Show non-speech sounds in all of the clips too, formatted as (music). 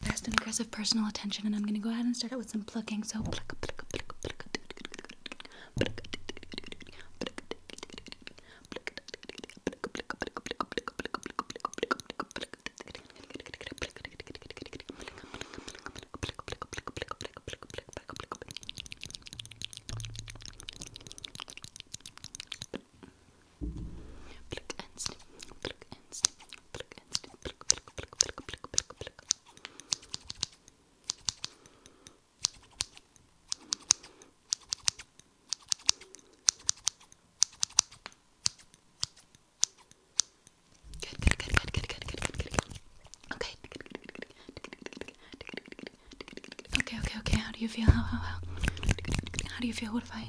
fast and aggressive personal attention, and I'm gonna go ahead and start out with some plucking. So pluck, pluck, pluck, pluck, pluck, Good, good, good, good, good, good, good, good, good. Okay. Okay, okay, okay. How do you feel? How, how, how? How do you feel? What if I?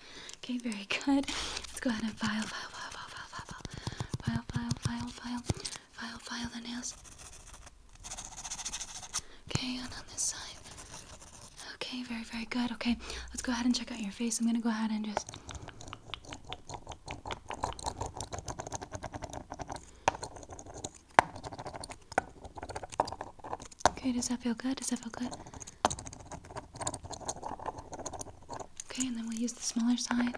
Okay, very good. Let's go ahead and file, file, file, file, file, file, file, file, file, file, file, file the nails. Okay, and on this side. Okay, very, very good. Okay, let's go ahead and check out your face. I'm gonna go ahead and just. Okay, does that feel good? Does that feel good? Okay, and then we'll use the smaller side.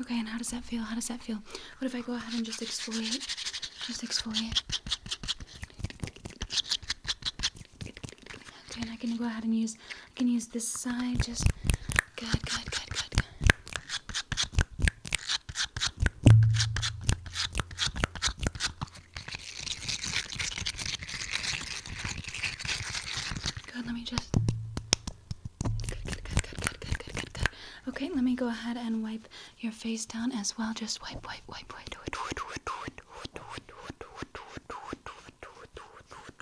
Okay, and how does that feel? How does that feel? What if I go ahead and just exfoliate? Just exfoliate. Okay, and I can go ahead and use I can use this side. Just good, good, good, good, good. Good, let me just. Good, good, good, good, good, good, good, good, good. Okay, let me go ahead and wipe your face down as well. Just wipe, wipe, wipe, wipe.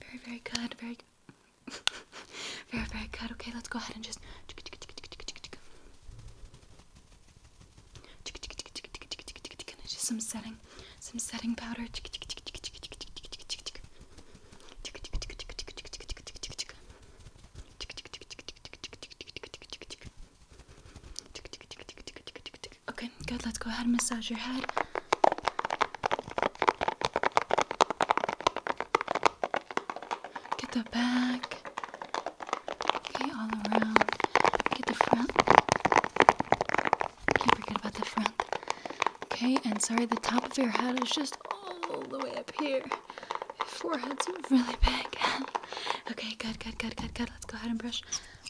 Very, very good. Very good. (laughs) very, very good. Okay, let's go ahead and just. And just some setting, some setting powder. Okay, good. Let's go ahead and massage your head. Get the back. Okay, all around. Get the front. Can't forget about the front. Okay, and sorry, the top of your head is just all the way up here. Your forehead's really big. (laughs) okay, good, good, good, good, good. Let's go ahead and brush.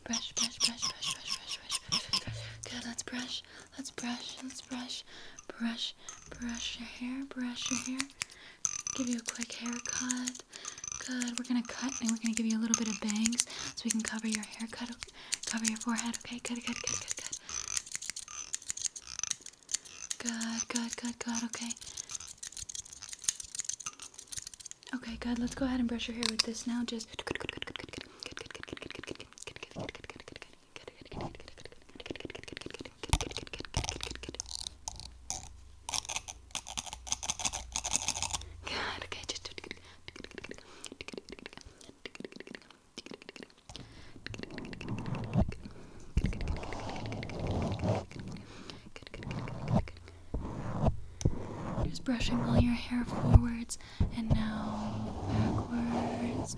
Brush, brush, brush, brush, brush, brush, brush, brush, brush. Good, let's brush. Let's brush. Let's brush. Brush. Brush your hair. Brush your hair. Give you a quick haircut. Good. We're gonna cut and we're gonna give you a little bit of bangs so we can cover your haircut, cover your forehead. Okay. Good. Good. Good. Good. Good. Good. Good. Good. Good. Okay. Okay, good. Let's go ahead and brush your hair with this now. Just just brushing all your hair forwards and now backwards.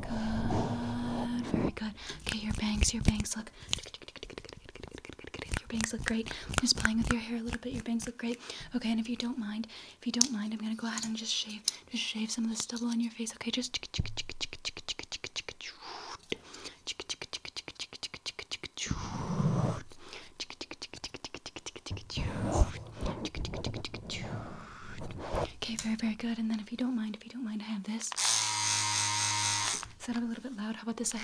Good. Very good. Okay, your bangs, your bangs look. Your bangs look great. Just playing with your hair a little bit. Your bangs look great. Okay, and if you don't mind, if you don't mind, I'm gonna go ahead and just shave, just shave some of the stubble on your face. Okay, just. Okay, very, very good. And then if you don't mind, if you don't mind, I have this. Is that a little bit loud? How about this side?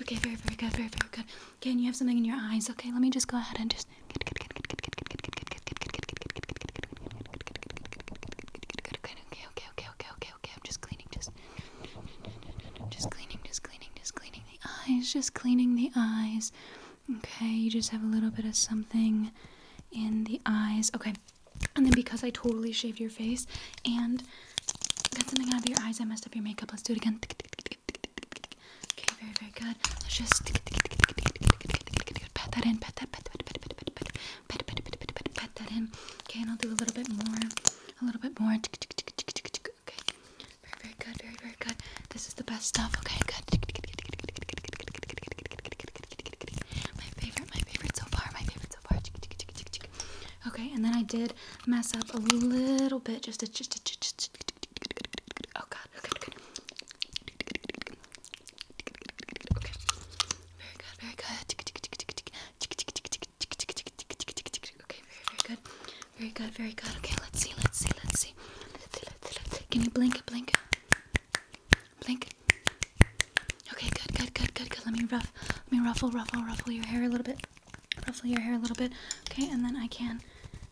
Okay, very, very good, very, very good. Okay, and you have something in your eyes. Okay, let me just go ahead and just. Okay, okay, okay, okay, okay, okay, okay. I'm just cleaning, just, just cleaning, just cleaning, just cleaning the eyes, just cleaning the eyes. Okay, you just have a little bit of something in the eyes. Okay, and then because I totally shaved your face and got something out of your eyes, I messed up your makeup. Let's do it again. Okay, very, very good. Let's just pat that in, pat that, pat, pat, pat, pat, pat, pat, pat, pat, pat, pat, pat, pat, pat that in. Okay, and I'll do a little bit more, a little bit more. Okay, very, very good, very, very good. This is the best stuff. Okay, good. My favorite, my favorite so far, my favorite so far. Okay, and then I did mess up a little bit, just a. Oh God, good, good. Very good, very good. Okay, very, very good. Very good, very good. Okay, let's see, let's see, let's see. Can you blink, it, blink? Blink. Okay, good, good, good, good, good. Let me rough let me ruffle, ruffle, ruffle your hair a little bit. Ruffle your hair a little bit. Okay, and then I can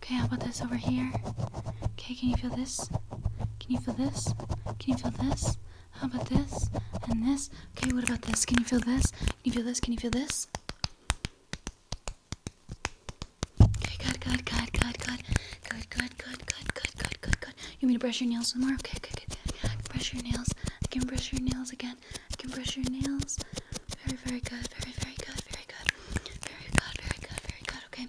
Okay, how about this over here? Okay, can you feel this? Can you feel this? Can you feel this? How about this? And this? Okay, what about this? Can you feel this? Can you feel this? Can you feel this? Okay, good, good, good, good, good. Good, good, good, good, good, good, good, good. You want me to brush your nails some more? Okay, good, good. I can brush your nails. I can brush your nails again. I can brush your nails. Very, very good. Very, very good. Very good. Very good. Very good. Very good. Okay.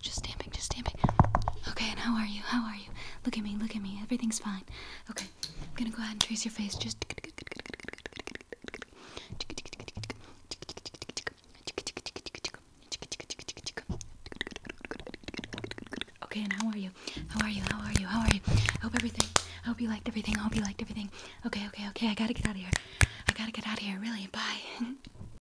Just stamping, just stamping. Okay, and how are you? How are you? Look at me, look at me. Everything's fine. Okay, I'm gonna go ahead and trace your face. Just Okay, and how are you? How are you? How are you? How are you? I hope everything. I hope you liked everything. I hope you liked everything. Okay, okay, okay. I gotta get out of here. I gotta get out of here. Really. Bye.